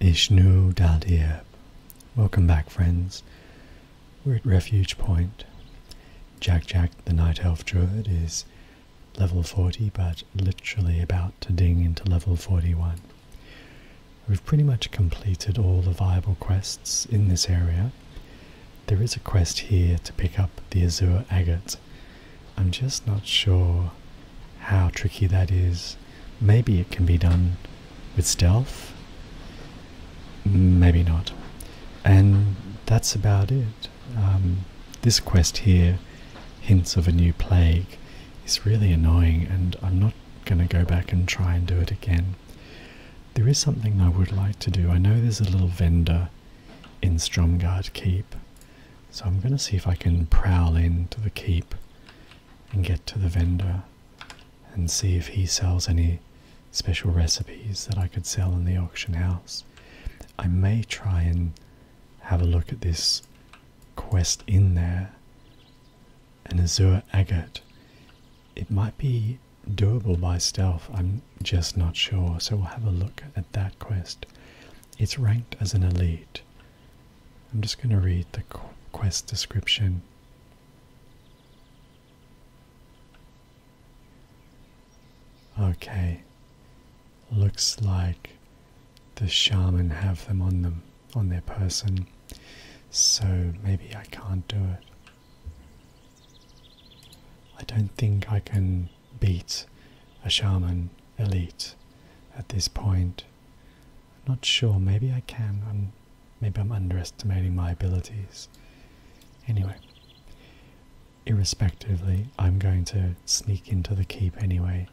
Ishnu Dadiab. Welcome back, friends. We're at Refuge Point. Jack Jack, the Night Elf Druid, is level 40, but literally about to ding into level 41. We've pretty much completed all the viable quests in this area. There is a quest here to pick up the Azure Agate. I'm just not sure how tricky that is. Maybe it can be done with stealth. Maybe not. And that's about it. Um, this quest here, Hints of a New Plague, is really annoying and I'm not going to go back and try and do it again. There is something I would like to do. I know there's a little vendor in Stromgard Keep, so I'm going to see if I can prowl into the keep and get to the vendor and see if he sells any special recipes that I could sell in the auction house. I may try and have a look at this quest in there an azure agate. It might be doable by stealth, I'm just not sure, so we'll have a look at that quest. It's ranked as an elite, I'm just going to read the quest description. Okay. Looks like the shaman have them on them on their person. So maybe I can't do it. I don't think I can beat a shaman elite at this point. I'm not sure. Maybe I can. maybe I'm underestimating my abilities. Anyway, irrespectively, I'm going to sneak into the keep anyway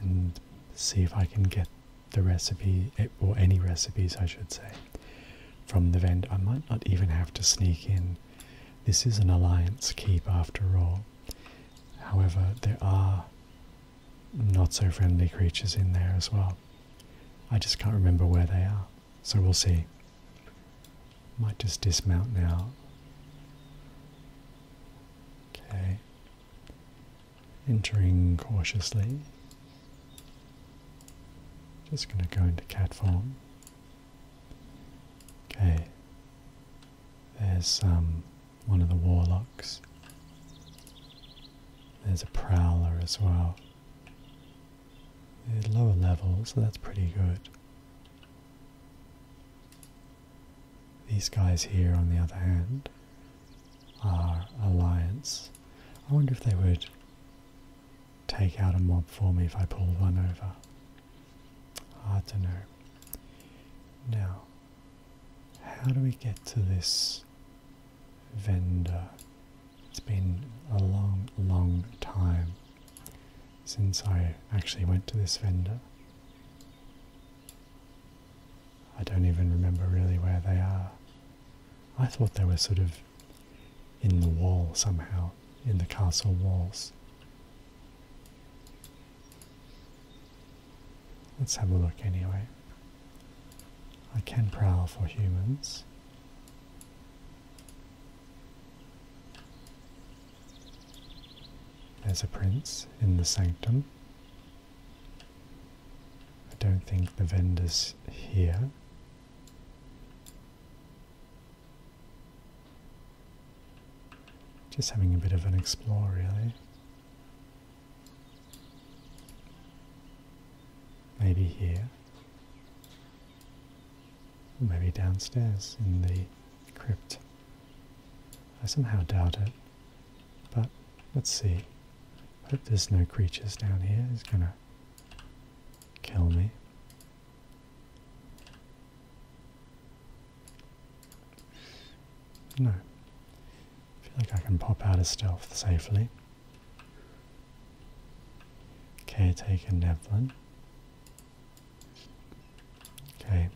and see if I can get the recipe, eh, or any recipes, I should say, from the vent. I might not even have to sneak in. This is an alliance keep after all. However, there are not so friendly creatures in there as well. I just can't remember where they are, so we'll see. Might just dismount now. Okay. Entering cautiously. Just going to go into cat form. Okay. There's some. Um, one of the warlocks. There's a prowler as well. They're lower level, so that's pretty good. These guys here, on the other hand, are alliance. I wonder if they would take out a mob for me if I pulled one over. Hard to know. Now, how do we get to this vendor? It's been a long, long time since I actually went to this vendor. I don't even remember really where they are. I thought they were sort of in the wall somehow, in the castle walls. Let's have a look anyway. I can prowl for humans. There's a prince in the sanctum. I don't think the vendor's here. Just having a bit of an explore, really. Maybe here. Or maybe downstairs in the crypt. I somehow doubt it. But let's see. Hope there's no creatures down here. It's gonna kill me. No. I feel like I can pop out of stealth safely. Caretaker Nevlin. Okay.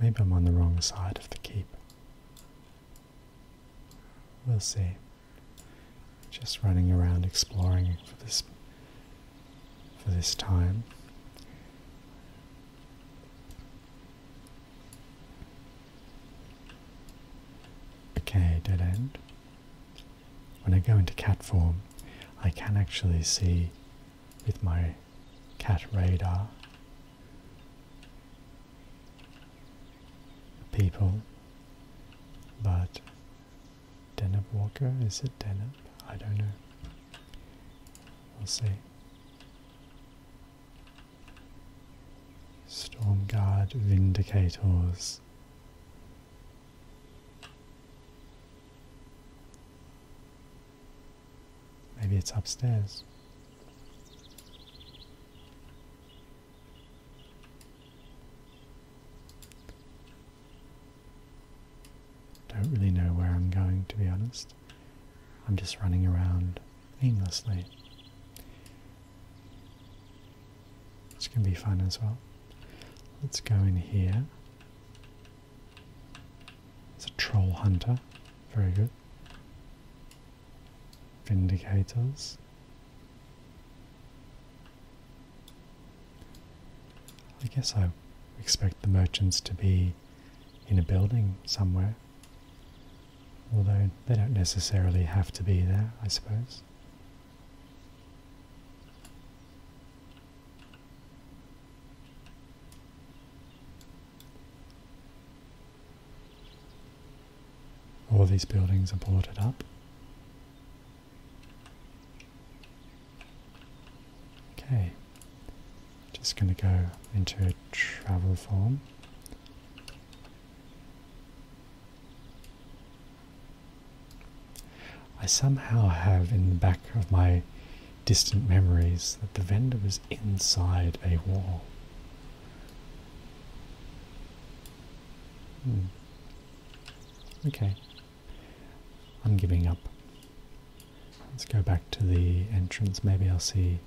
Maybe I'm on the wrong side of the keep. We'll see. Just running around exploring for this for this time. Okay, dead end. When I go into cat form, I can actually see with my cat radar people, but Denup Walker, is it Denup? I don't know. We'll see. Stormguard Vindicators. Maybe it's upstairs. Don't really know where I'm going to be honest. I'm just running around aimlessly. Which can be fun as well. Let's go in here. It's a troll hunter. Very good. Vindicators. I guess I expect the merchants to be in a building somewhere. Although they don't necessarily have to be there, I suppose. All these buildings are boarded up. Okay, just going to go into a travel form. I somehow have in the back of my distant memories that the vendor was inside a wall. Hmm. Okay. I'm giving up. Let's go back to the entrance. Maybe I'll see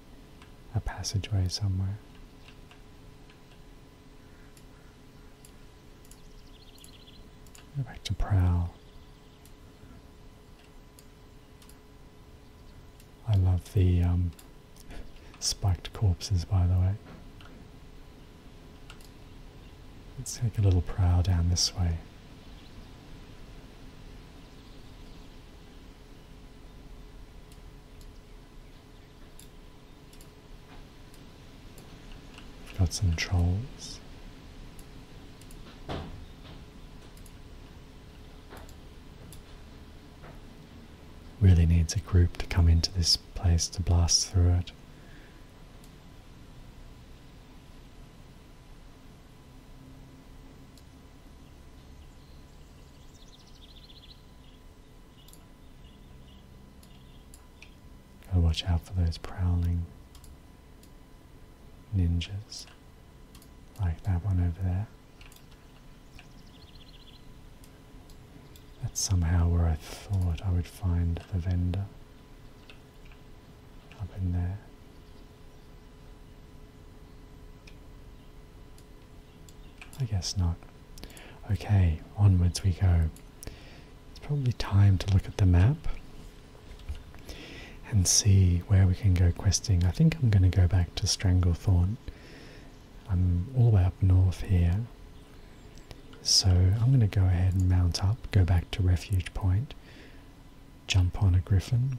a passageway somewhere. Go back to prowl. I love the um, spiked corpses, by the way. Let's take a little prowl down this way got some trolls. Really needs a group to come into this place to blast through it. Gotta watch out for those prowling ninjas, like that one over there. That's somehow where I thought I would find the vendor up in there. I guess not. Okay, onwards we go. It's probably time to look at the map and see where we can go questing. I think I'm going to go back to Stranglethorn. I'm all the way up north here. So I'm going to go ahead and mount up, go back to Refuge Point, jump on a griffin,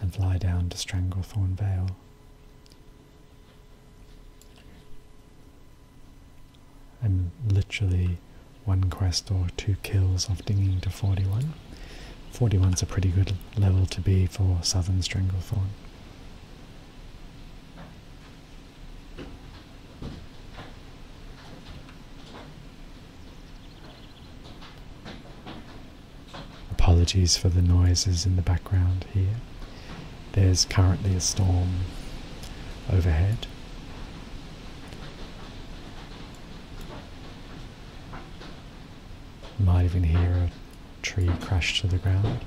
and fly down to Stranglethorn Vale. I'm literally one quest or two kills off dinging to 41. 41's a pretty good level to be for Southern Stranglethorn. Apologies for the noises in the background here. There's currently a storm overhead. You might even hear a tree crash to the ground.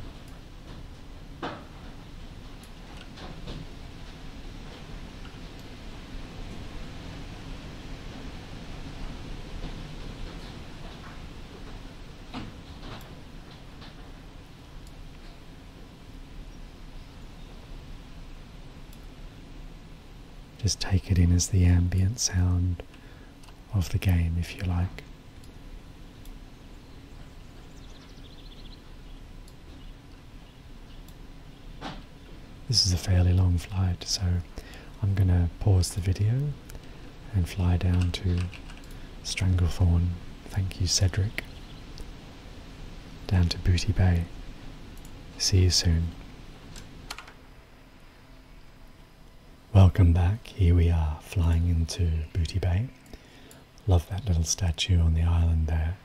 Just take it in as the ambient sound of the game, if you like. This is a fairly long flight, so I'm going to pause the video and fly down to Stranglethorn. Thank you, Cedric. Down to Booty Bay. See you soon. Welcome back. Here we are flying into Booty Bay. Love that little statue on the island there,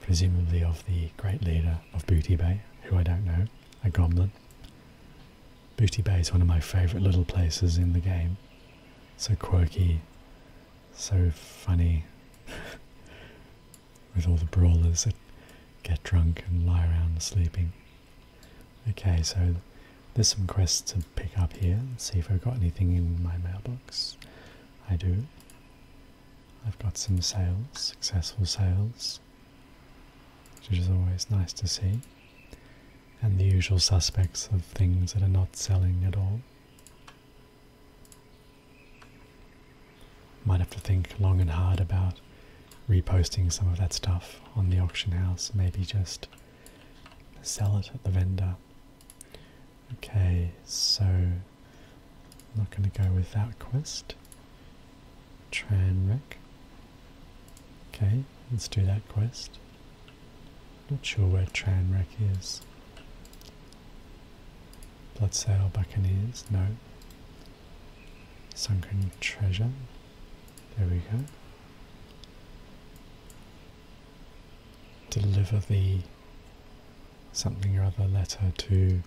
presumably of the great leader of Booty Bay, who I don't know a goblet. Booty Bay is one of my favourite little places in the game. So quirky, so funny, with all the brawlers that get drunk and lie around sleeping. Okay, so there's some quests to pick up here. see if I've got anything in my mailbox. I do. I've got some sales, successful sales which is always nice to see, and the usual suspects of things that are not selling at all. Might have to think long and hard about reposting some of that stuff on the auction house, maybe just sell it at the vendor. Okay, so I'm not going to go with that quest. Tranrec. Okay, let's do that quest. Not sure where Tranrec is. Bloodsail Buccaneers, no. Sunken Treasure, there we go. Deliver the something or other letter to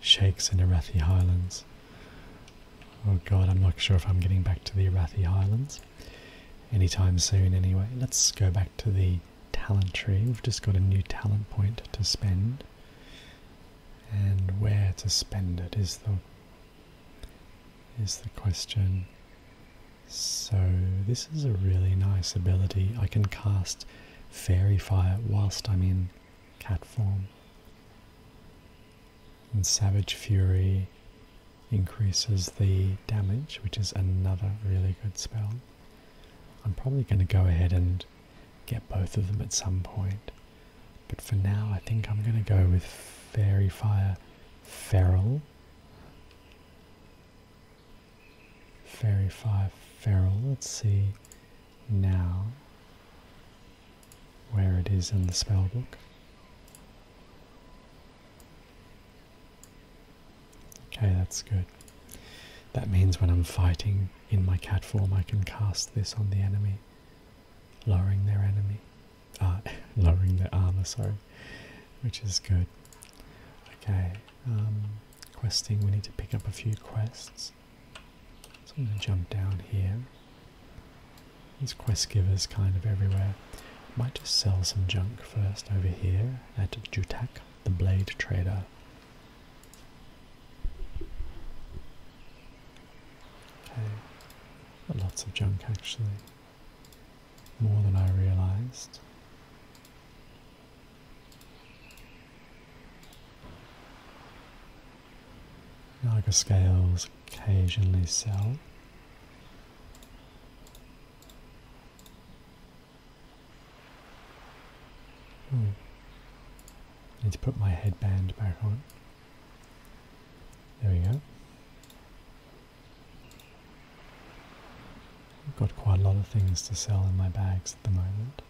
shakes in the Arathi Highlands. Oh god, I'm not sure if I'm getting back to the Arathi Highlands anytime soon anyway. Let's go back to the talent tree. We've just got a new talent point to spend. And where to spend it is the is the question. So this is a really nice ability. I can cast Fairy Fire whilst I'm in cat form. And Savage Fury increases the damage, which is another really good spell. I'm probably going to go ahead and get both of them at some point. But for now, I think I'm going to go with Fairy Fire Feral. Fairy Fire Feral. Let's see now where it is in the spellbook. Okay, that's good. That means when I'm fighting in my cat form, I can cast this on the enemy, lowering their enemy, uh, lowering their armor, sorry, which is good. Okay, um, questing, we need to pick up a few quests. So I'm going to jump down here. These quest givers kind of everywhere. Might just sell some junk first over here at Jutak, the blade trader. Okay, lots of junk actually. More than I realized. Naga scales occasionally sell. Hmm. Need to put my headband back on. There we go. I've got quite a lot of things to sell in my bags at the moment.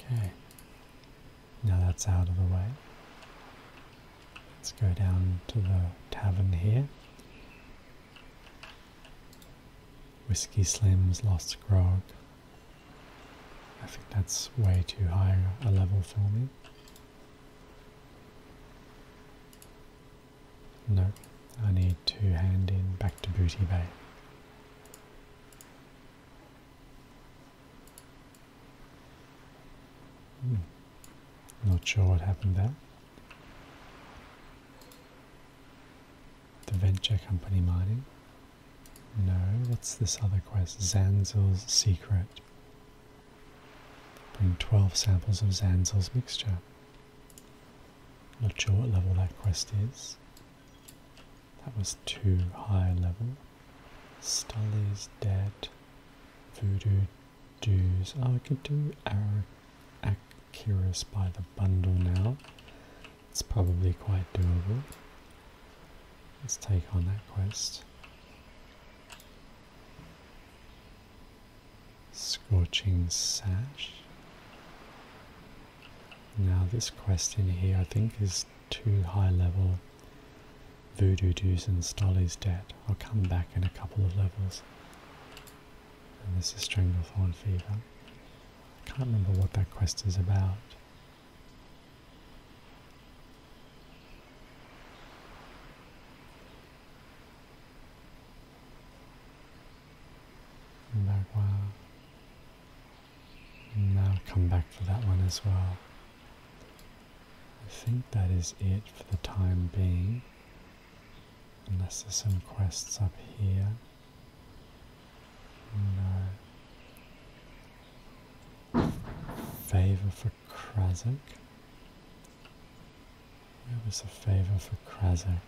Okay, now that's out of the way. Let's go down to the tavern here. Whiskey Slim's Lost Grog. I think that's way too high a level for me. No, I need to hand in back to Booty Bay. Hmm. Not sure what happened there. The venture company mining. No, what's this other quest? Zanzil's secret. Bring 12 samples of Zanzil's mixture. Not sure what level that quest is. That was too high level. Stully's dead. Voodoo dues. Oh, I could do Arrow Acurus by the bundle now. It's probably quite doable. Let's take on that quest. Scorching Sash. Now this quest in here I think is too high level. Voodoo Doos and Stolly's debt. I'll come back in a couple of levels. And this is Stranglethorn Fever. I can't remember what that quest is about. Magua. Now I'll come back for that one as well. I think that is it for the time being. Unless there's some quests up here. No. Favor for Krazak. Where was the favor for Krazak?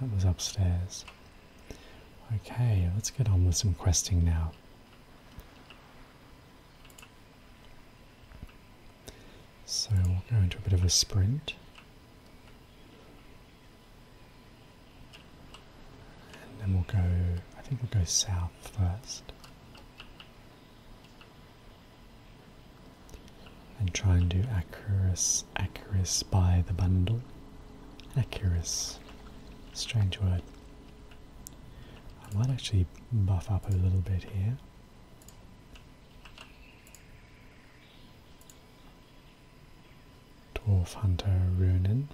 That was upstairs. Okay, let's get on with some questing now. So we'll go into a bit of a sprint. And then we'll go, I think we'll go south first and try and do Acuris, Acuris by the bundle. Acuris, strange word. I might actually buff up a little bit here. Dwarf Hunter Runen.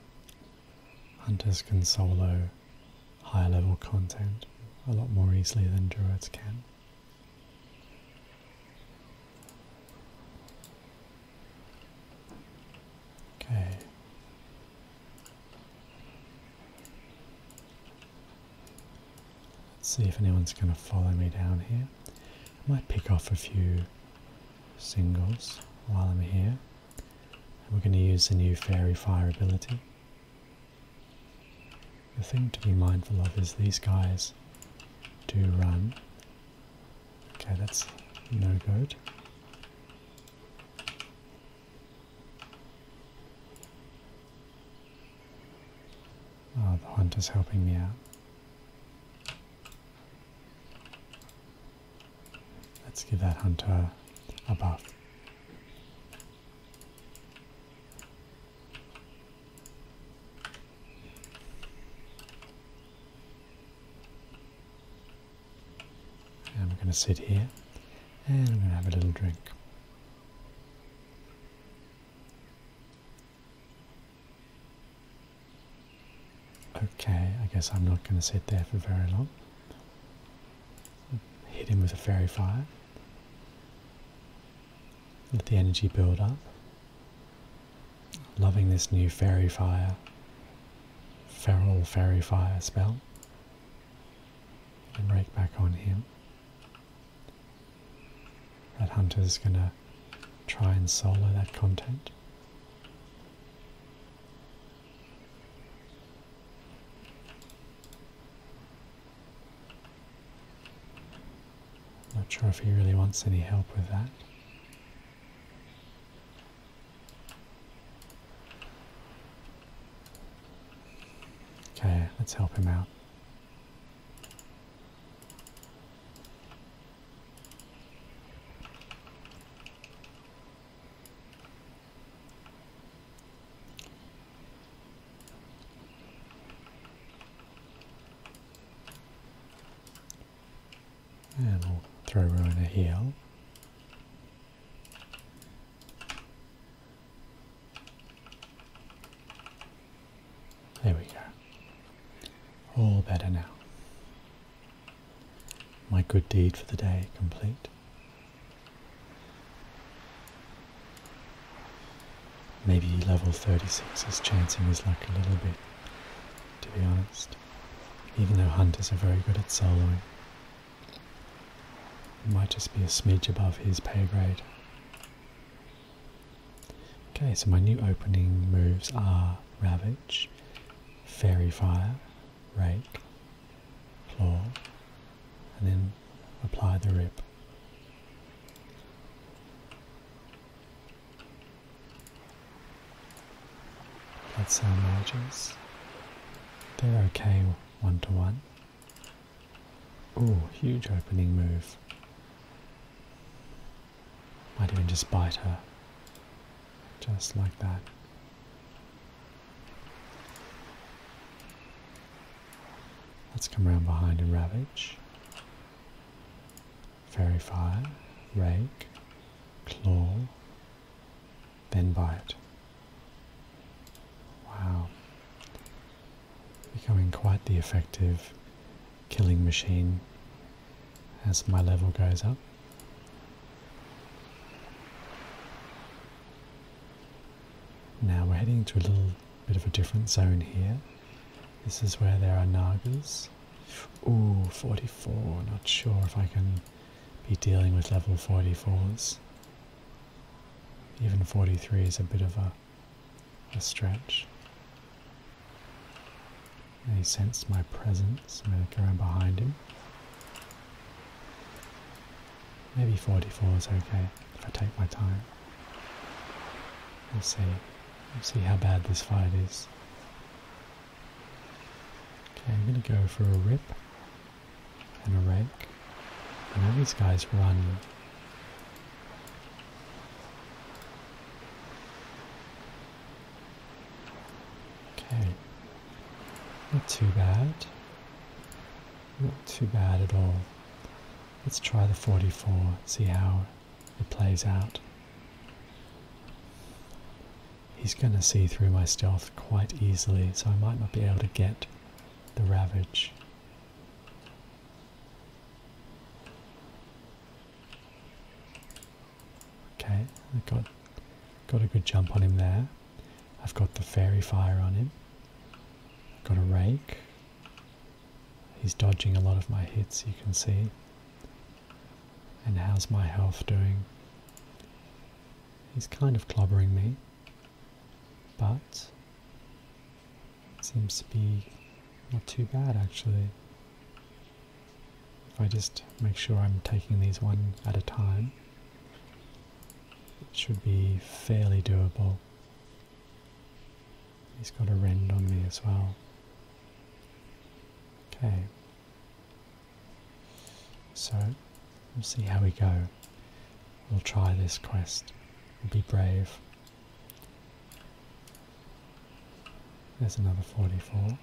Hunters can solo higher level content a lot more easily than druids can. Okay. Let's see if anyone's going to follow me down here. I might pick off a few singles while I'm here. we're going to use the new fairy fire ability. The thing to be mindful of is these guys do run. Okay, that's no good. Oh, the hunter's helping me out. Let's give that hunter a buff. I'm going to sit here and I'm going to have a little drink. Okay, I guess I'm not going to sit there for very long. Hit him with a fairy fire. Let the energy build up. Loving this new fairy fire, feral fairy fire spell. And rake back on him. That hunter's gonna try and solo that content. Not sure if he really wants any help with that. Okay, let's help him out. And we'll throw Ruiner here. There we go. All better now. My good deed for the day complete. Maybe level 36 is chancing his luck a little bit, to be honest, even though hunters are very good at soloing. It might just be a smidge above his pay grade. Okay, so my new opening moves are Ravage, Fairy Fire, Rake, Claw, and then apply the rip. That's our mergers. They're okay one to one. Ooh, huge opening move. Might even just bite her. Just like that. Let's come around behind and ravage verify, rake, claw, then bite. Wow. Becoming quite the effective killing machine as my level goes up. Now we're heading to a little bit of a different zone here. This is where there are Nagas. Ooh, 44. Not sure if I can be dealing with level 44s. Even 43 is a bit of a, stretch. They sensed my presence. I'm going to go around behind him. Maybe 44 is okay if I take my time. We'll see. We'll see how bad this fight is. Okay, I'm going to go for a rip and a rake. I know these guys run. Okay. Not too bad. Not too bad at all. Let's try the 44, see how it plays out. He's going to see through my stealth quite easily, so I might not be able to get the Ravage. Okay, I got, got a good jump on him there. I've got the Fairy Fire on him. Got a Rake. He's dodging a lot of my hits, you can see. And how's my health doing? He's kind of clobbering me, but seems to be not too bad actually. If I just make sure I'm taking these one at a time, it should be fairly doable. He's got a rend on me as well. Okay. So, we'll see how we go. We'll try this quest. be brave. There's another 44.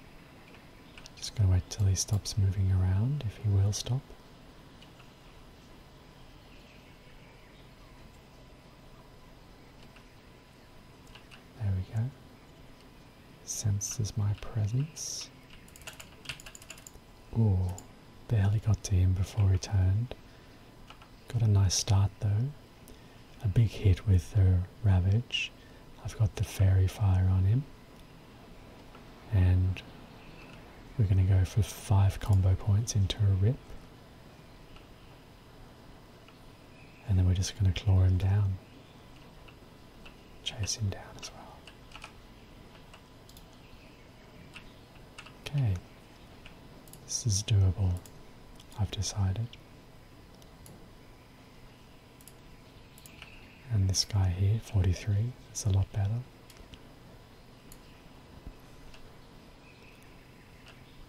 Just gonna wait till he stops moving around, if he will stop. There we go. Senses my presence. Ooh, barely got to him before he turned. Got a nice start though. A big hit with the Ravage. I've got the Fairy Fire on him. And we're going to go for five combo points into a rip. And then we're just going to claw him down. Chase him down as well. Okay. This is doable, I've decided. And this guy here, 43, is a lot better.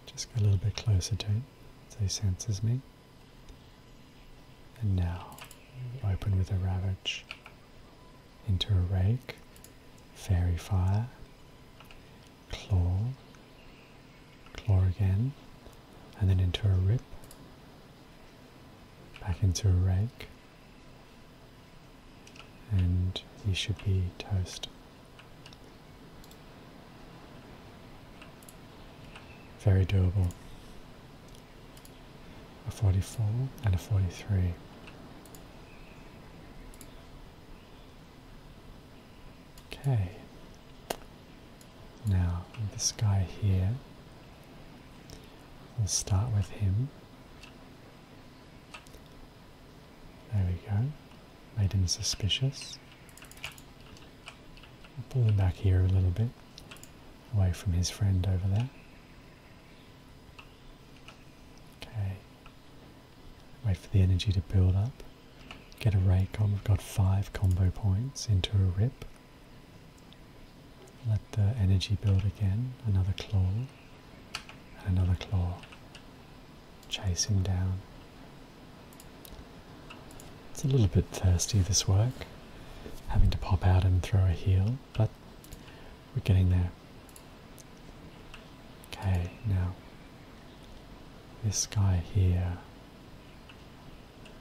Just go a little bit closer to it, so he senses me. And now open with a ravage into a rake, fairy fire, claw, claw again, and then into a rip, back into a rake, and he should be toast. Very doable. A 44 and a 43. Okay. Now, this guy here, we'll start with him. There we go. Made him suspicious. pull him back here a little bit, away from his friend over there. Okay. Wait for the energy to build up. Get a Raycon. We've got five combo points into a rip. Let the energy build again. Another claw. another claw. Chase him down. It's a little bit thirsty, this work, having to pop out and throw a heel, but we're getting there. Okay, now this guy here.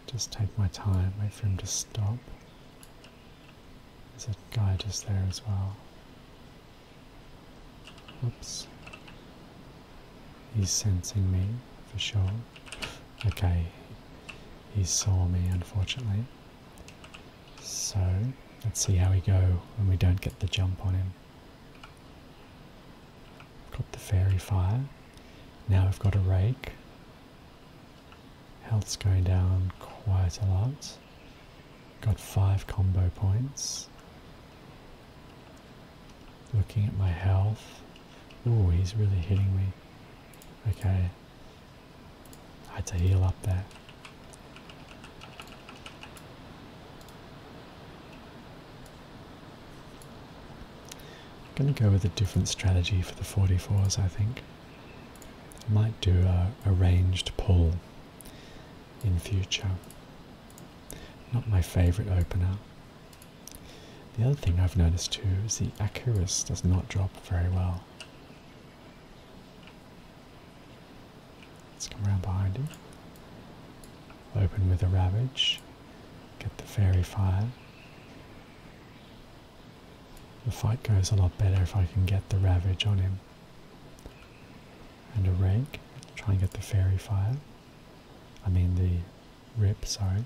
Just take my time, wait for him to stop. There's a guy just there as well. Oops. He's sensing me, for sure. Okay, he saw me, unfortunately. So, let's see how we go when we don't get the jump on him. Got the fairy fire. Now I've got a rake. Health's going down quite a lot. Got five combo points. Looking at my health. Oh, he's really hitting me. Okay. I had to heal up there. I'm going to go with a different strategy for the 44s, I think. I might do a, a ranged pull in future. Not my favourite opener. The other thing I've noticed too is the Acuris does not drop very well. Let's come around behind him. Open with a Ravage. Get the Fairy Fire. The fight goes a lot better if I can get the Ravage on him. And a Rake. Try and get the Fairy Fire. I mean the rip. sorry.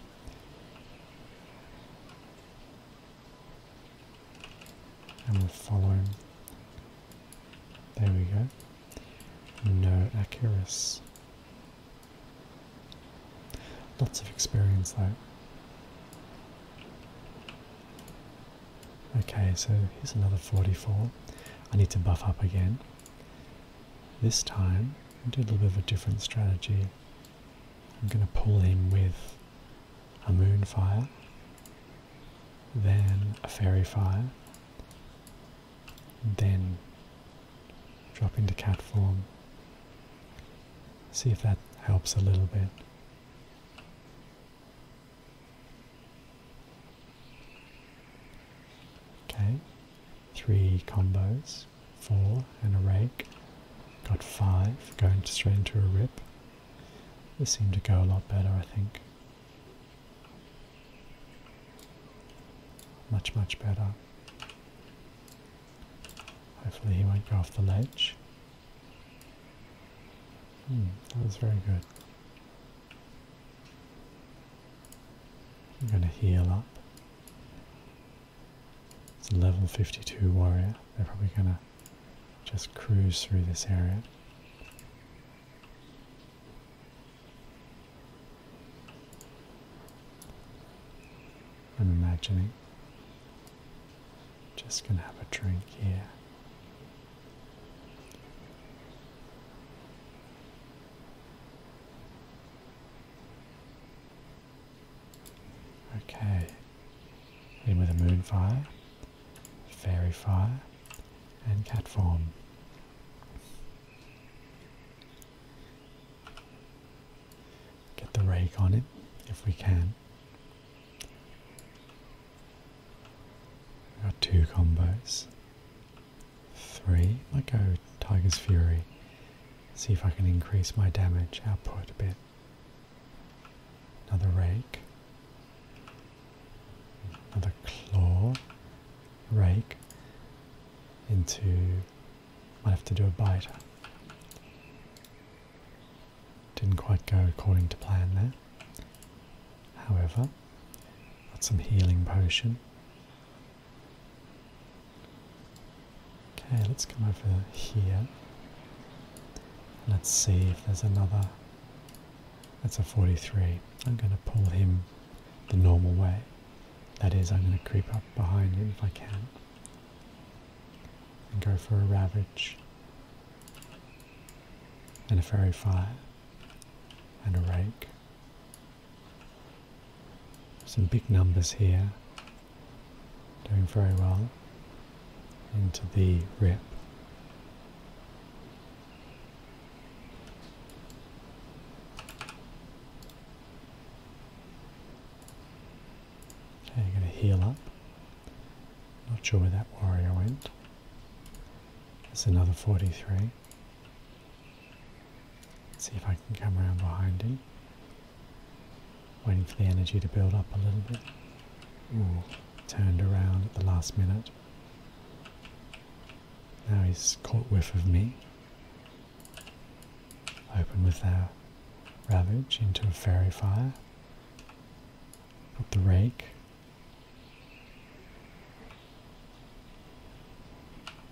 And we follow There we go. No Acurus. Lots of experience though. Okay, so here's another 44. I need to buff up again. This time, I did a little bit of a different strategy. I'm going to pull him with a moon fire, then a fairy fire, then drop into cat form. See if that helps a little bit. Okay, three combos, four and a rake. Got five, going straight into a rip. This seemed to go a lot better, I think. Much, much better. Hopefully he won't go off the ledge. Hmm, that was very good. I'm going to heal up. It's a level 52 warrior. They're probably going to just cruise through this area. I'm imagining. Just going to have a drink here. Okay, in with a moonfire, fairy fire, and cat form. Get the rake on it if we can. We've got two combos three. I might go Tiger's Fury. See if I can increase my damage output a bit. Another rake. Another claw. Rake. Into. Might have to do a bite. Didn't quite go according to plan there. However, well. That's some healing potion. Okay, let's come over here. Let's see if there's another. That's a 43. I'm going to pull him the normal way. That is, I'm going to creep up behind him if I can. And go for a ravage. And a fairy fire. And a rake. Some big numbers here, doing very well into the rip. Okay, going to heal up. Not sure where that warrior went. That's another 43 see if I can come around behind him. Waiting for the energy to build up a little bit. turned around at the last minute. Now he's caught whiff of me. Open with our Ravage into a Fairy Fire. Put the Rake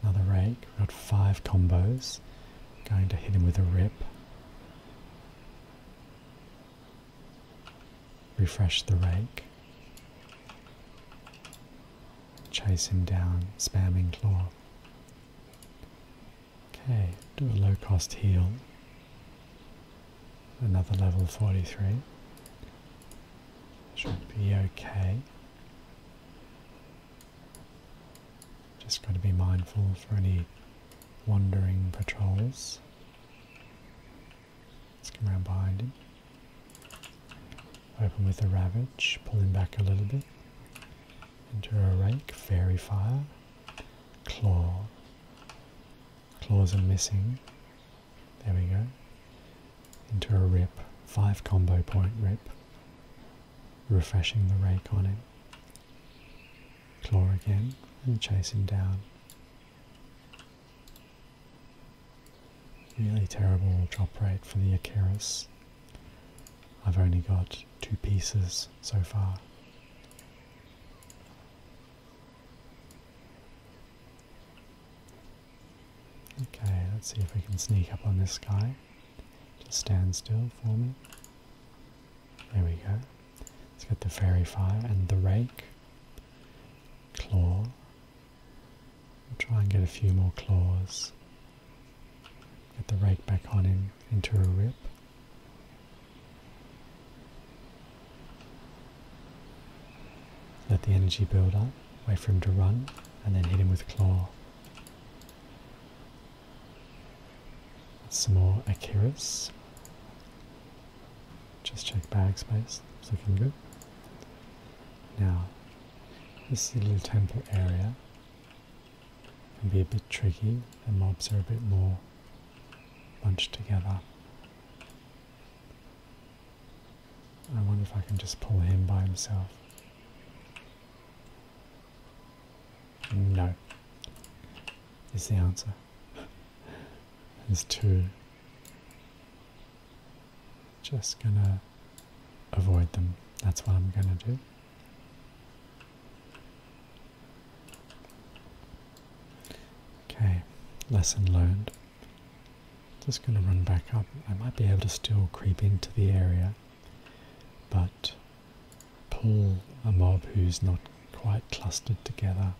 Another rake, we've got five combos. Going to hit him with a rip. Refresh the rake. Chase him down, spamming claw. Okay, do a low cost heal. Another level 43. Should be okay. Just got to be mindful for any wandering patrols. Let's come around behind him. Open with a ravage, pull him back a little bit. Into a rake, fairy fire, claw. Claws are missing. There we go. Into a rip. 5 combo point rip. Refreshing the rake on him. Claw again and chase him down. Really terrible drop rate for the Acheris. I've only got two pieces so far. Okay, let's see if we can sneak up on this guy. Just stand still for me. There we go. Let's get the fairy fire and the rake. Claw. try and get a few more claws. Get the rake back on him into a rip. Let the energy build up, wait for him to run, and then hit him with claw. Some more Akiris. Just check bag space, it's looking good. Now, this little temple area can be a bit tricky, the mobs are a bit more bunched together. I wonder if I can just pull him by himself. No, is the answer. There's two. Just gonna avoid them. That's what I'm gonna do. Okay, lesson learned. Just going to run back up. I might be able to still creep into the area, but pull a mob who's not quite clustered together.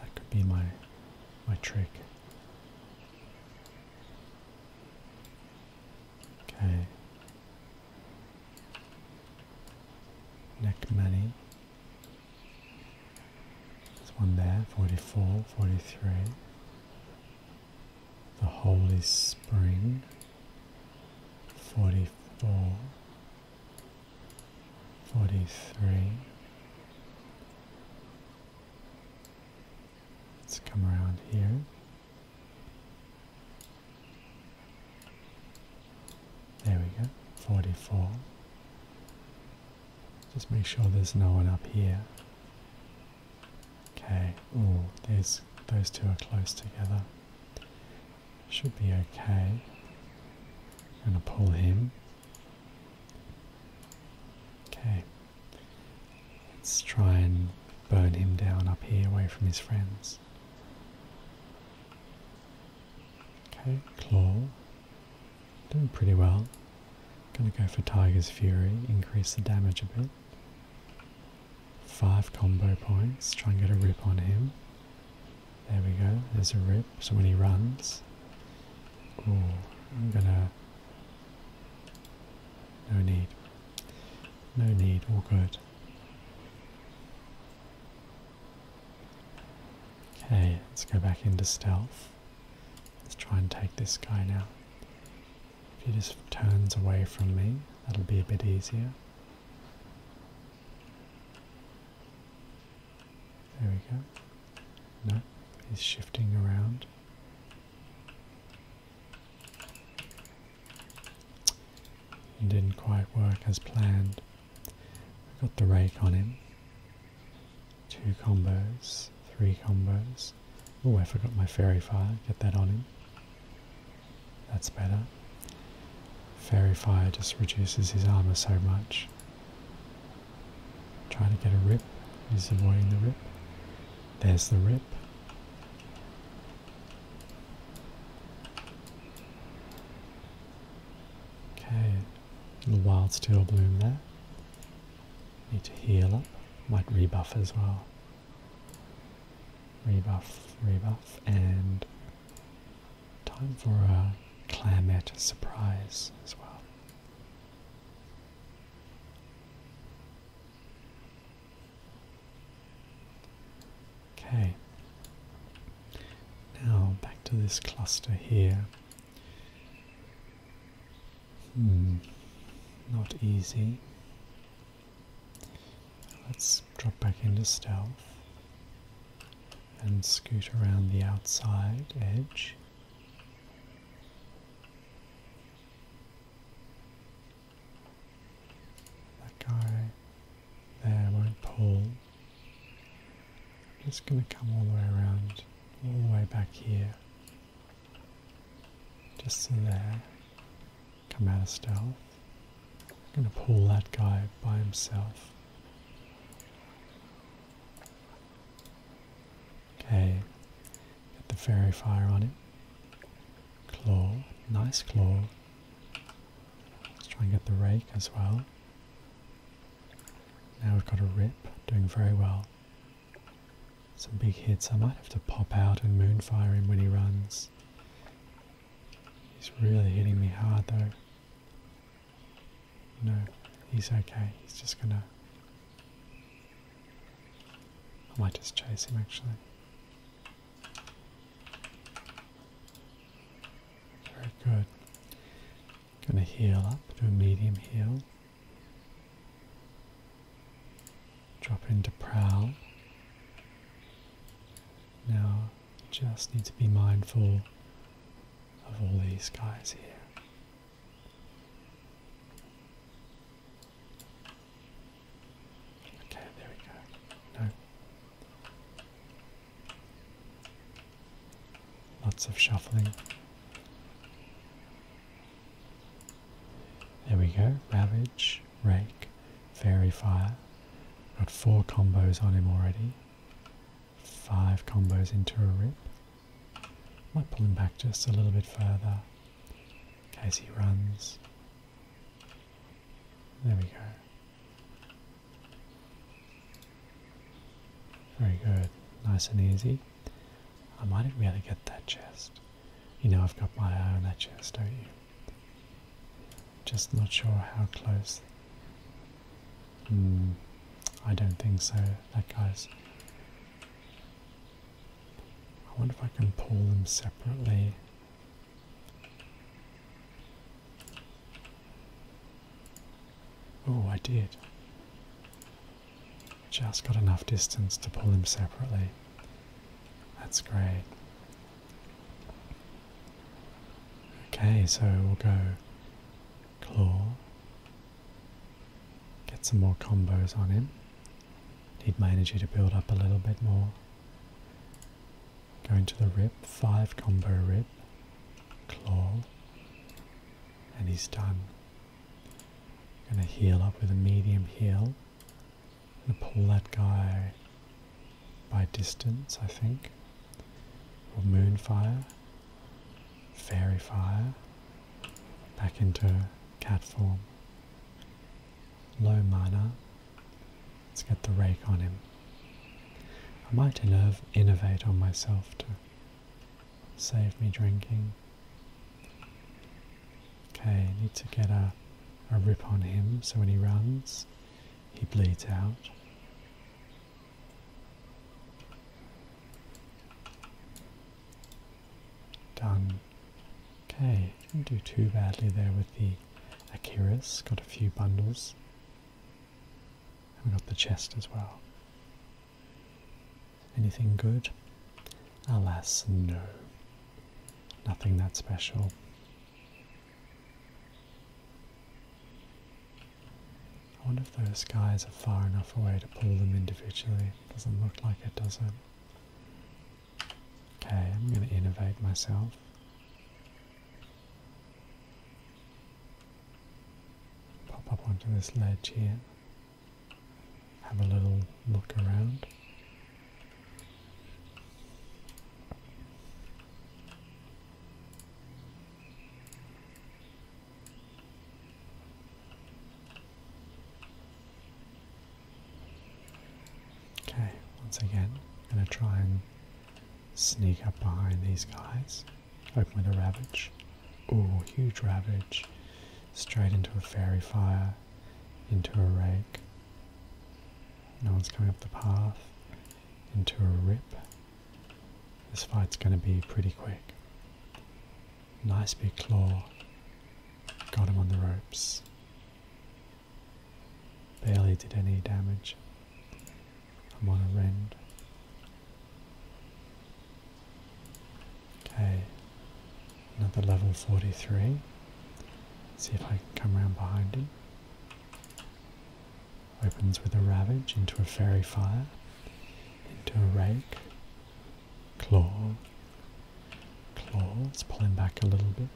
That could be my, my trick. Okay. Neck money. There's one there, 44, 43 the Holy Spring, 44, 43. Let's come around here. There we go, 44, just make sure there's no one up here. Okay, ooh, there's, those two are close together. Should be okay. I'm gonna pull him. Okay. Let's try and burn him down up here away from his friends. Okay, claw. Doing pretty well. Gonna go for Tiger's Fury, increase the damage a bit. Five combo points, try and get a rip on him. There we go, there's a rip, so when he runs... Ooh, I'm gonna... No need. No need, all good. Okay, let's go back into stealth. Let's try and take this guy now. If he just turns away from me, that'll be a bit easier. There we go. No, he's shifting around. didn't quite work as planned. I got the rake on him. Two combos, three combos. Oh, I forgot my Fairy Fire. Get that on him. That's better. Fairy Fire just reduces his armor so much. Trying to get a rip. He's avoiding the rip. There's the rip. Okay, little wild steel bloom there. Need to heal up. Might rebuff as well. Rebuff, rebuff, and time for a Clamet surprise as well. Okay. Now back to this cluster here. Hmm, not easy. Let's drop back into stealth and scoot around the outside edge. That guy there won't pull. just going to come all the way around, all the way back here. Just in there. Come out of stealth. I'm gonna pull that guy by himself. Okay, get the fairy fire on it. Claw, nice claw. Let's try and get the rake as well. Now we've got a rip, doing very well some big hits. I might have to pop out and moonfire him when he runs. He's really hitting me hard though. No, he's okay. He's just gonna... I might just chase him actually. Very good. Gonna heal up, do a medium heal. Drop into prowl. Now just need to be mindful of all these guys here. Okay, there we go. No. Lots of shuffling. There we go, Ravage, Rake, Fairy Fire. Got four combos on him already. Five combos into a rip. Might pull him back just a little bit further in case he runs. There we go. Very good, nice and easy. I might be able to get that chest. You know I've got my eye on that chest, don't you? Just not sure how close. Hmm, I don't think so. That guy's... I wonder if I can pull them separately. Oh, I did. Just got enough distance to pull him separately. That's great. Okay, so we'll go claw. Get some more combos on him. Need my energy to build up a little bit more. Going to the rip, 5 combo rip, claw, and he's done. I'm gonna heal up with a medium heal. i gonna pull that guy by distance, I think. moonfire. Fairy fire. Back into cat form. Low mana. Let's get the rake on him. I might innovate on myself too. Save me drinking. Okay, need to get a, a rip on him so when he runs, he bleeds out. Done. Okay, didn't do too badly there with the Akiris. Got a few bundles. And we got the chest as well. Anything good? Alas, no. Nothing that special. I wonder if those guys are far enough away to pull them individually. Doesn't look like it, does it? Okay, I'm going to innovate myself. Pop up onto this ledge here have a little look around. Okay, once again, I'm going to try and sneak up behind these guys. Open with a ravage. Ooh, huge ravage straight into a fairy fire, into a rake. No one's coming up the path, into a rip. This fight's going to be pretty quick. Nice big claw. Got him on the ropes. Barely did any damage. I'm on a rend. Okay, another level 43. see if I can come around behind him. Opens with a ravage into a fairy fire, into a rake, claw, claw. Let's pull him back a little bit.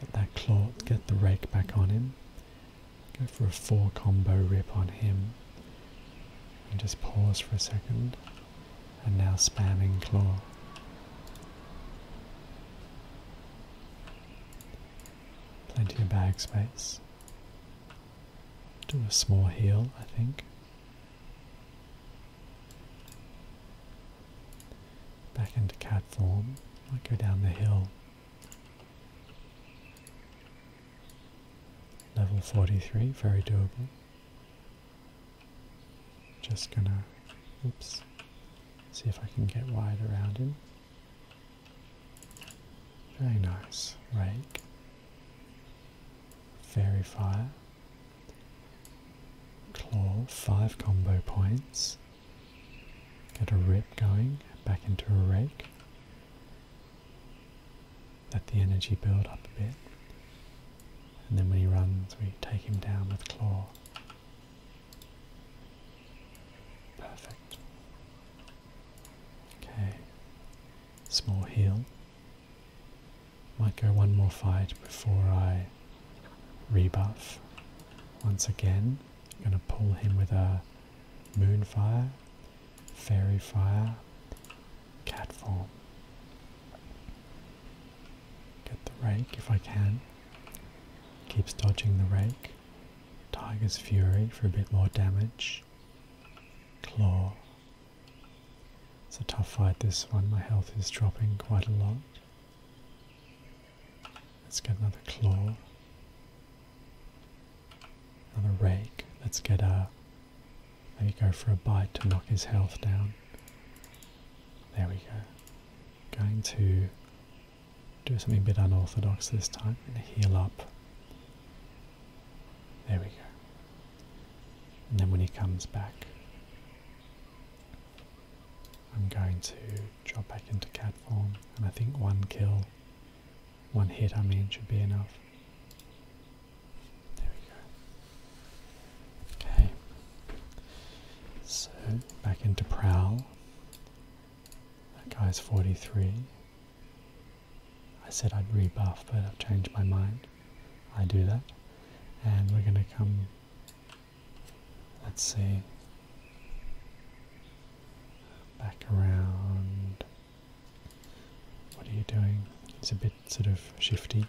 Get that claw, get the rake back on him. Go for a four combo rip on him. And just pause for a second and now spamming claw. Plenty of bag space. Do a small heal, I think. Back into cat form. Might go down the hill. Level 43, very doable. Just gonna, oops, see if I can get wide around him. Very nice. Rake. Fairy Fire. Claw, 5 combo points. Get a rip going, back into a rake. Let the energy build up a bit. And then when he runs, we take him down with claw. Perfect. Okay. Small heal. Might go one more fight before I rebuff. Once again, I'm going to pull him with a moonfire, fairy fire, cat form. Get the rake if I can. Keeps dodging the rake. Tiger's Fury for a bit more damage. Claw. It's a tough fight this one, my health is dropping quite a lot. Let's get another claw. Another rake. Let's get a let me go for a bite to knock his health down. There we go. Going to do something a bit unorthodox this time and heal up. There we go. And then when he comes back, I'm going to drop back into cat form, and I think one kill, one hit I mean, should be enough. There we go. Okay. So back into prowl. That guy's 43. I said I'd rebuff, but I've changed my mind. I do that. And we're going to come. Let's see. Back around. What are you doing? It's a bit sort of shifty.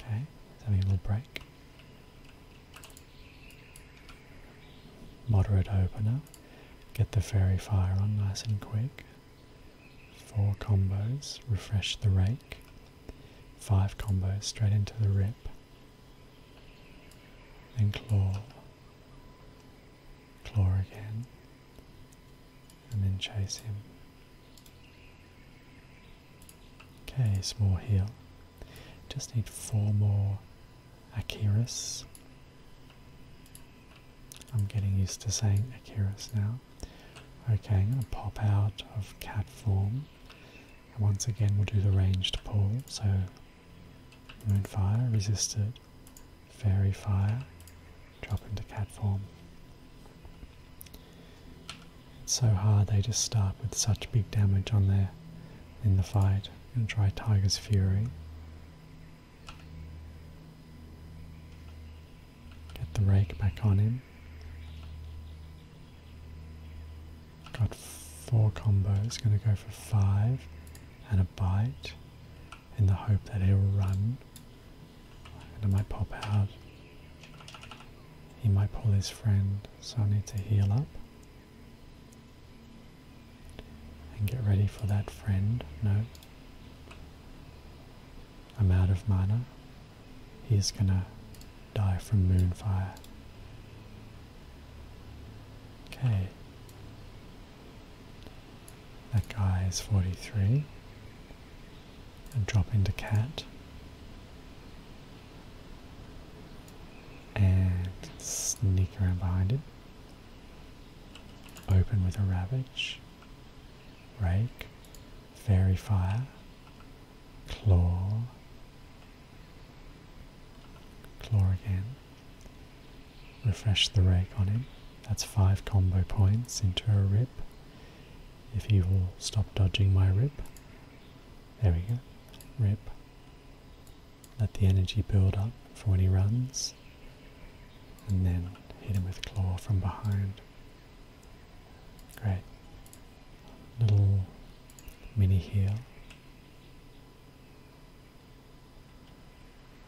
Okay, let a little break. Moderate opener. Get the fairy fire on nice and quick. Four combos, refresh the rake. Five combos straight into the rip. Then claw claw again, and then chase him. Okay, small heal. Just need four more Akiras. I'm getting used to saying Akiras now. Okay, I'm going to pop out of cat form. And once again, we'll do the ranged pull. So Moonfire resisted Fairy Fire, drop into cat form. It's so hard they just start with such big damage on there in the fight. I'm going to try Tiger's Fury. Get the rake back on him. Got four combos, gonna go for five and a bite in the hope that he'll run. And I might pop out. He might pull his friend, so I need to heal up. And get ready for that friend. No. I'm out of mana. He's gonna die from moonfire. Okay. That guy is 43. And drop into cat. And sneak around behind it. Open with a ravage. Rake. Fairy fire. Claw. Claw again. Refresh the rake on him. That's five combo points into a rip. If he will stop dodging my rip. There we go. Rip. Let the energy build up for when he runs. And then hit him with claw from behind. Great. Little mini heal.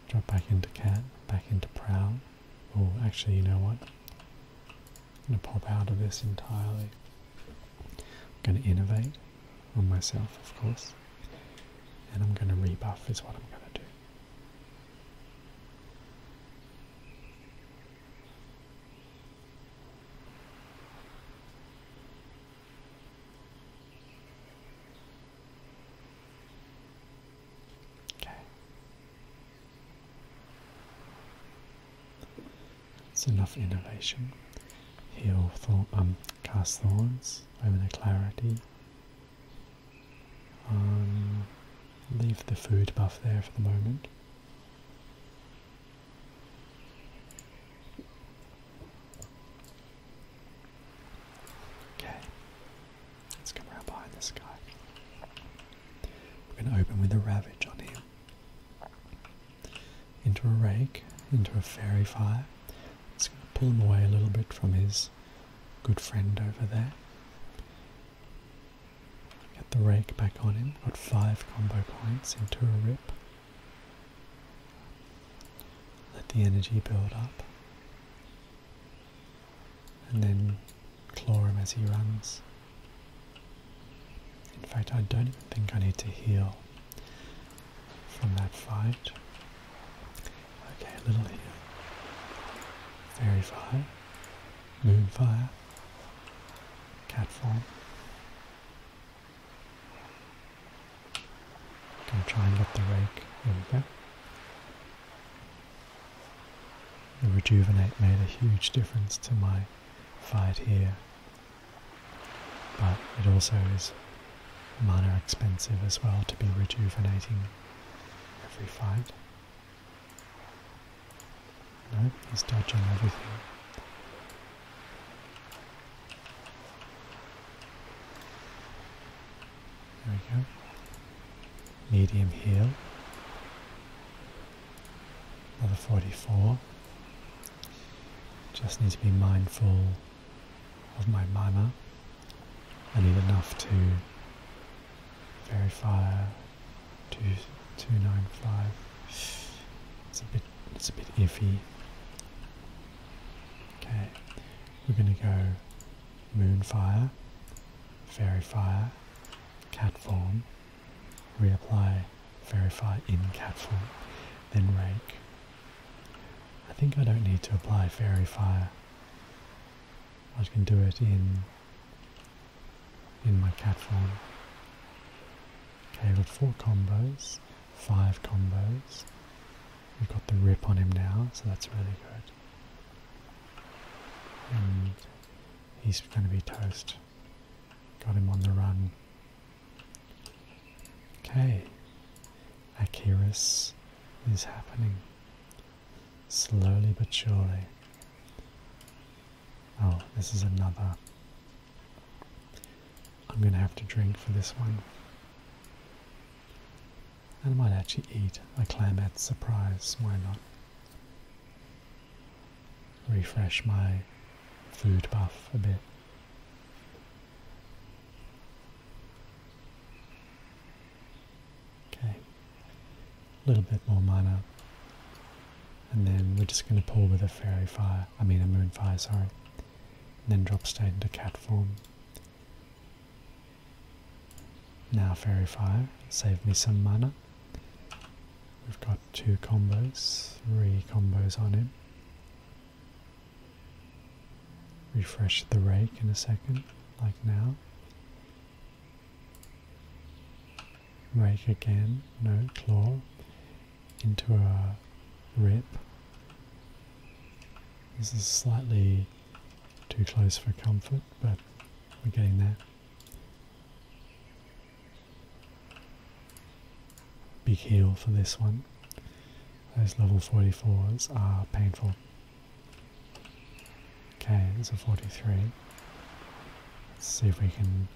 Drop back into cat, back into prow. Oh, actually, you know what? I'm going to pop out of this entirely. I'm going to innovate on myself, of course. And I'm going to rebuff is what I'm going to do. Okay. It's enough innovation. Heal thorn, um, cast thorns over the clarity. Um, leave the food buff there for the moment. Okay, let's come around behind this guy. We're going to open with a Ravage on him. Into a Rake, into a Fairy Fire. It's going to pull him away a little bit from his good friend over there. Get the Rake back on him. Got five combo points into a Rip. Let the energy build up and then claw him as he runs. In fact, I don't even think I need to heal from that fight. Okay, little heal. Fairy fire, moon fire, cat form. Gonna try and get the rake. There The rejuvenate made a huge difference to my fight here, but it also is mana expensive as well to be rejuvenating every fight. No, he's dodging everything. There we go. Medium heel. Another 44. Just need to be mindful of my manner. I need enough to verify two, 295. It's a bit, it's a bit iffy. Okay, we're going to go Moonfire, Fairy Fire, Cat Form, reapply Fairy Fire in Cat Form, then Rake. I think I don't need to apply Fairy Fire. I can do it in in my cat form. Okay, got four combos, five combos, We've got the rip on him now, so that's really good. And he's going to be toast. Got him on the run. Okay. Akiris is happening. Slowly but surely. Oh, this is another. I'm going to have to drink for this one and might actually eat a clam at surprise, why not? Refresh my food buff a bit. Okay, a little bit more mana. And then we're just going to pull with a fairy fire, I mean a moon fire, sorry. And then drop state into cat form. Now Fairy Fire, save me some mana. We've got two combos, three combos on it. Refresh the rake in a second, like now. Rake again, no, claw. Into a rip. This is slightly too close for comfort, but we're getting there. Big heal for this one. Those level 44s are painful. Okay, it's a 43. see if we can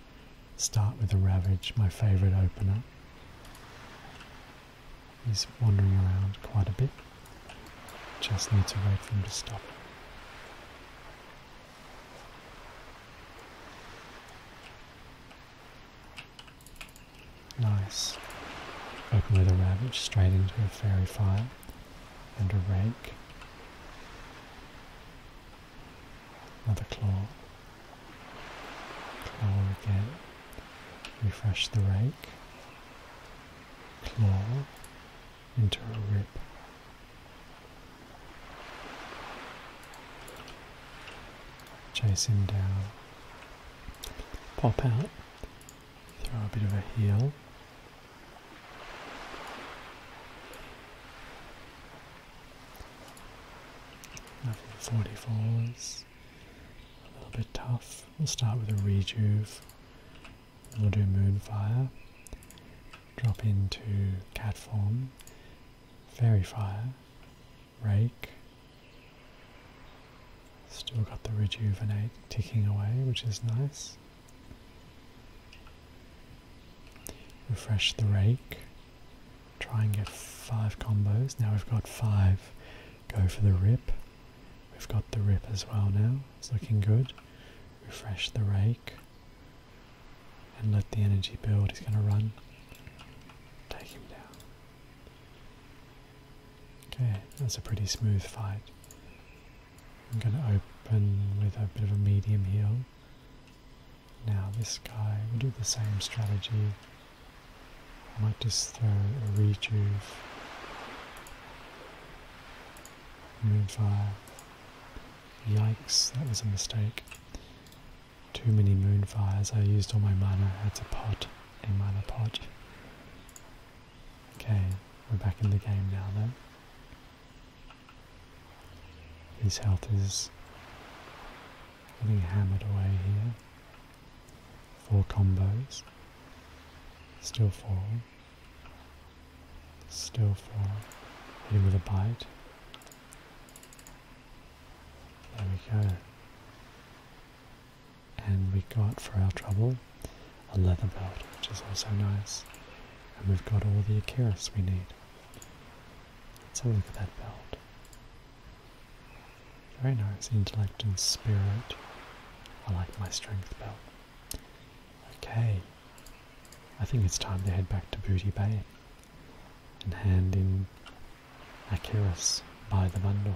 start with the Ravage, my favourite opener. He's wandering around quite a bit. Just need to wait for him to stop. Nice. Open with a ravage straight into a fairy fire and a rake. Another claw. Claw again. Refresh the rake claw into a rip, Chase him down. Pop out. Throw a bit of a heel. Level 44s a little bit tough. We'll start with a rejuve. we'll do moonfire. Drop into cat form. Fairy fire. Rake. Still got the rejuvenate ticking away, which is nice. Refresh the rake. Try and get five combos. Now we've got five Go for the rip. We've got the rip as well now. It's looking good. Refresh the rake. And let the energy build. He's going to run. Take him down. Okay, that's a pretty smooth fight. I'm going to open with a bit of a medium heel. Now this guy, we'll do the same strategy I just throw a rejuve, Moonfire. Yikes, that was a mistake. Too many moonfires. I used all my mana. That's a pot, a mana pot. Okay, we're back in the game now though. His health is being hammered away here four combos, still four, still four, hit him with a bite. There we go. And we got for our trouble a leather belt, which is also nice. And we've got all the Akiris we need. Let's have a look at that belt. Very nice, intellect and spirit. I like my strength belt. Okay, I think it's time to head back to Booty Bay and hand in Acherus by the bundle.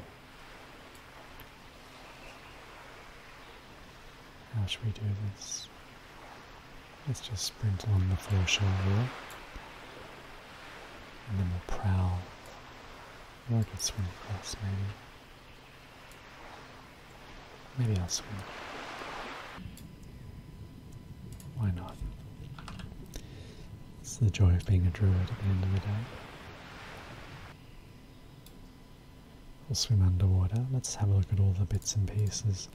How should we do this? Let's just sprint along the foreshore here. And then we'll prowl. Or I could swim across maybe. Maybe I'll swim. Why not? It's the joy of being a druid at the end of the day. We'll swim underwater. Let's have a look at all the bits and pieces.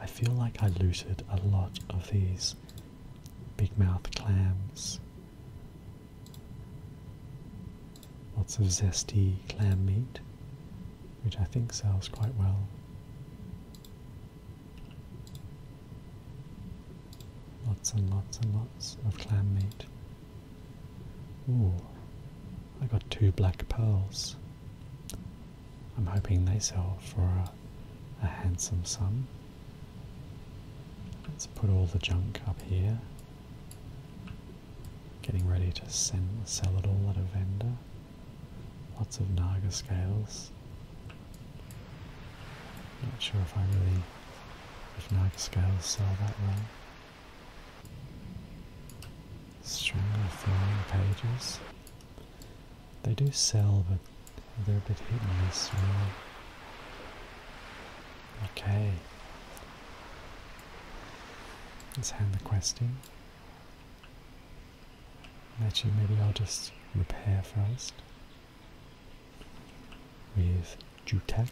I feel like I looted a lot of these big mouth clams. Lots of zesty clam meat, which I think sells quite well. Lots and lots and lots of clam meat. Ooh, I got two black pearls. I'm hoping they sell for a, a handsome sum. Let's put all the junk up here. Getting ready to sell it all at a vendor. Lots of Naga scales. Not sure if I really, if Naga scales sell that well. String of flying pages. They do sell, but they're a bit hit and miss Okay. Let's hand the quest in. Actually, maybe I'll just repair first with Jutec.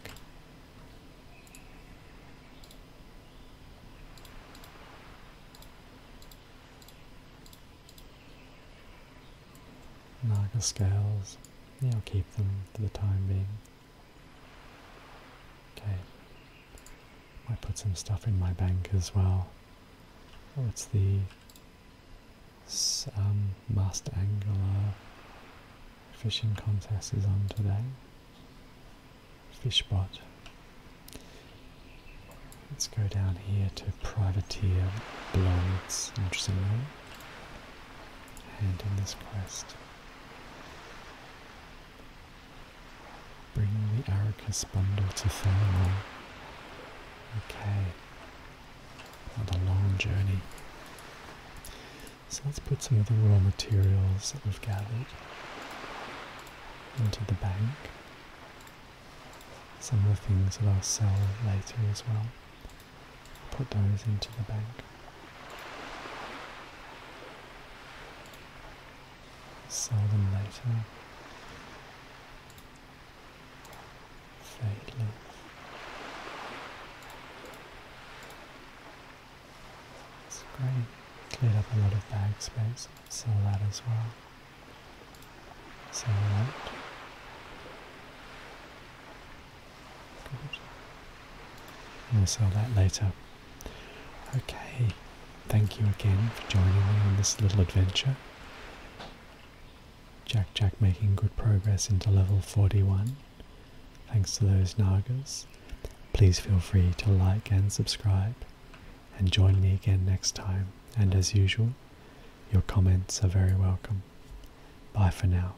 Naga scales, I'll keep them for the time being. Okay. Might put some stuff in my bank as well. Oh, it's the um, Angler Fishing Contest is on today. Fishbot. Let's go down here to Privateer Blades, interestingly. And in this quest. Bring the Arrakis bundle to thermal. Okay. Not long journey. So let's put some of the raw materials that we've gathered into the bank. Some of the things that I'll sell later as well put those into the bank. Sell them later. Fade leaf. It's great. Cleared up a lot of bag space. Sell that as well. Sell that. Good. I'll sell that later. Okay, thank you again for joining me on this little adventure. Jack Jack making good progress into level 41. Thanks to those Nagas. Please feel free to like and subscribe and join me again next time. And as usual, your comments are very welcome. Bye for now.